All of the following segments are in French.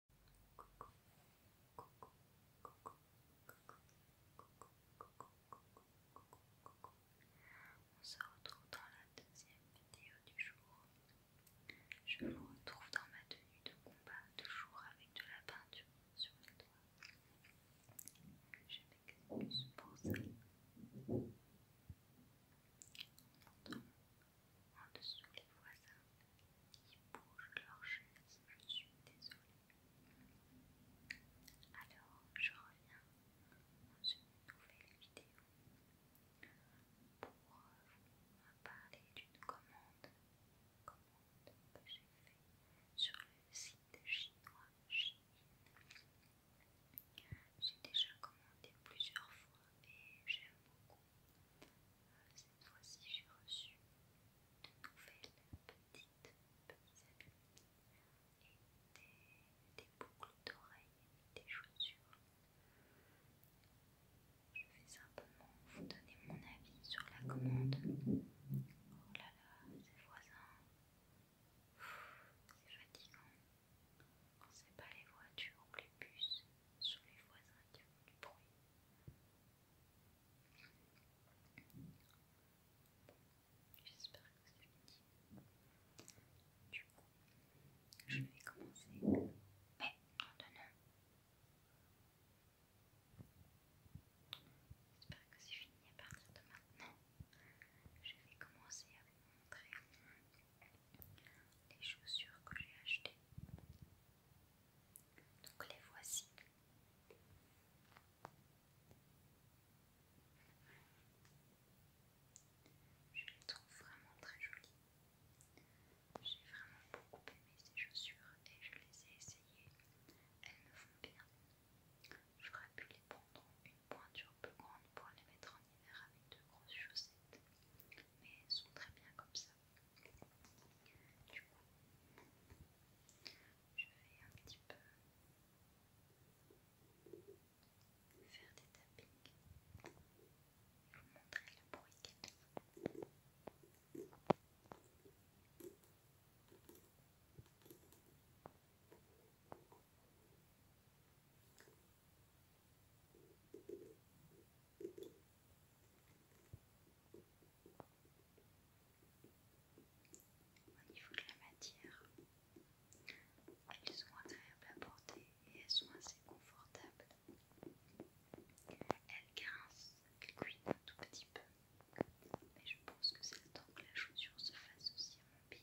On se retrouve dans la deuxième vidéo du jour. Je me retrouve dans ma tenue de combat, toujours avec de la peinture sur les doigts. Je m'excuse pour ça en dessous les voisins qui bougent leurs chaises, je suis désolée. Alors je reviens dans une nouvelle vidéo pour vous parler d'une commande, que j'ai faite sur le site chinois J'ai déjà commandé plusieurs fois et j'aime beaucoup. Cette fois-ci, j'ai reçu de nouvelles petites amies et des, boucles d'oreilles, et des chaussures. Je vais simplement vous donner mon avis sur la commande. Oh là là, c'est voisins, c'est fatigant. ne sait pas les voitures ou les bus sous les voisins qui font du bruit. J'espère que c'est fini. Du coup, je vais commencer. Mais en donnant. J'espère que c'est fini à partir de maintenant. Je vais commencer à vous montrer les chaussures que j'ai achetées. Donc les voici. Je les trouve vraiment très jolies. J'ai vraiment beaucoup aimé ces chaussures et je les ai essayées. Elles me font bien. J'aurais pu les prendre une pointure plus grande pour les mettre en hiver avec de grosses chaussettes. Mais elles sont très bien comme ça. Du coup, je vais un petit peu faire des tappings et vous montrer le bruit qu'elle au niveau de la matière, elles sont agréables à porter et elles sont assez confortables. Elles grincent, elles cuitent un tout petit peu, mais je pense que c'est le temps que la chaussure se fasse aussi à mon pied.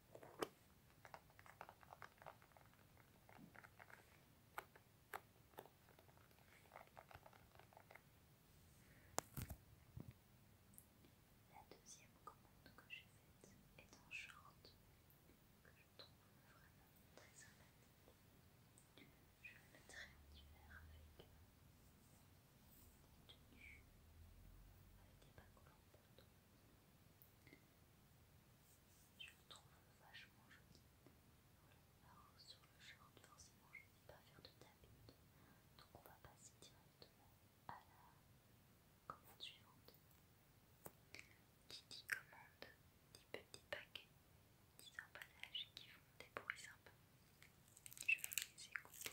La deuxième commande que j'ai faite est en short que je trouve vraiment très sympathique. Je le mettrai en avec avec des Je le trouve vachement joli. Voilà. Alors sur le short, forcément, je ne vais pas faire de tapis, donc on va passer directement à la commande suivante. Qui dit commande dit petits paquets, dit emballages qui font des bruits sympas. Je vais les écouter.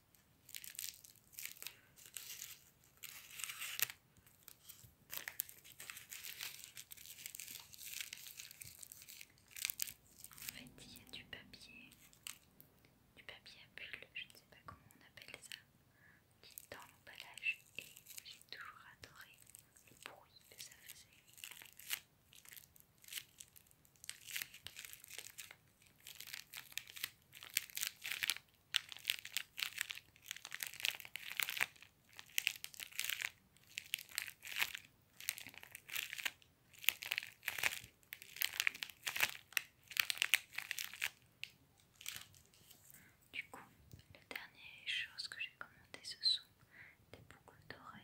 En fait, il y a du papier, du papier à bulles, je ne sais pas comment on appelle ça, qui est dans l'emballage et j'ai toujours adoré le bruit que ça faisait. Du coup, la dernière chose que j'ai commandé, ce sont des boucles d'oreilles.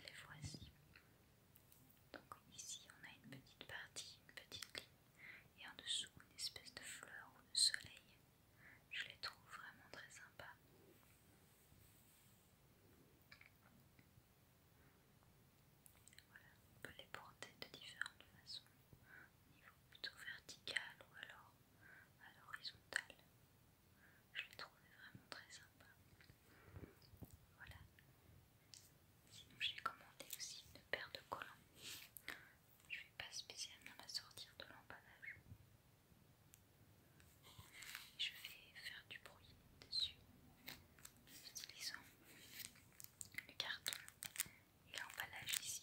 Les voici. Donc ici, on a une petite partie, une petite ligne et en dessous une espèce de fleur ou de soleil. Je les trouve vraiment très sympas. Voilà, on peut les porter de différentes façons, au niveau plutôt vertical ou alors à l'horizontale. Je les trouvais vraiment très sympas. Voilà, Sinon j'ai commandé aussi une paire de collants. Je ne vais pas spécialement la sortir de l'emballage. Je vais faire du bruit dessus en utilisant le carton et l'emballage ici.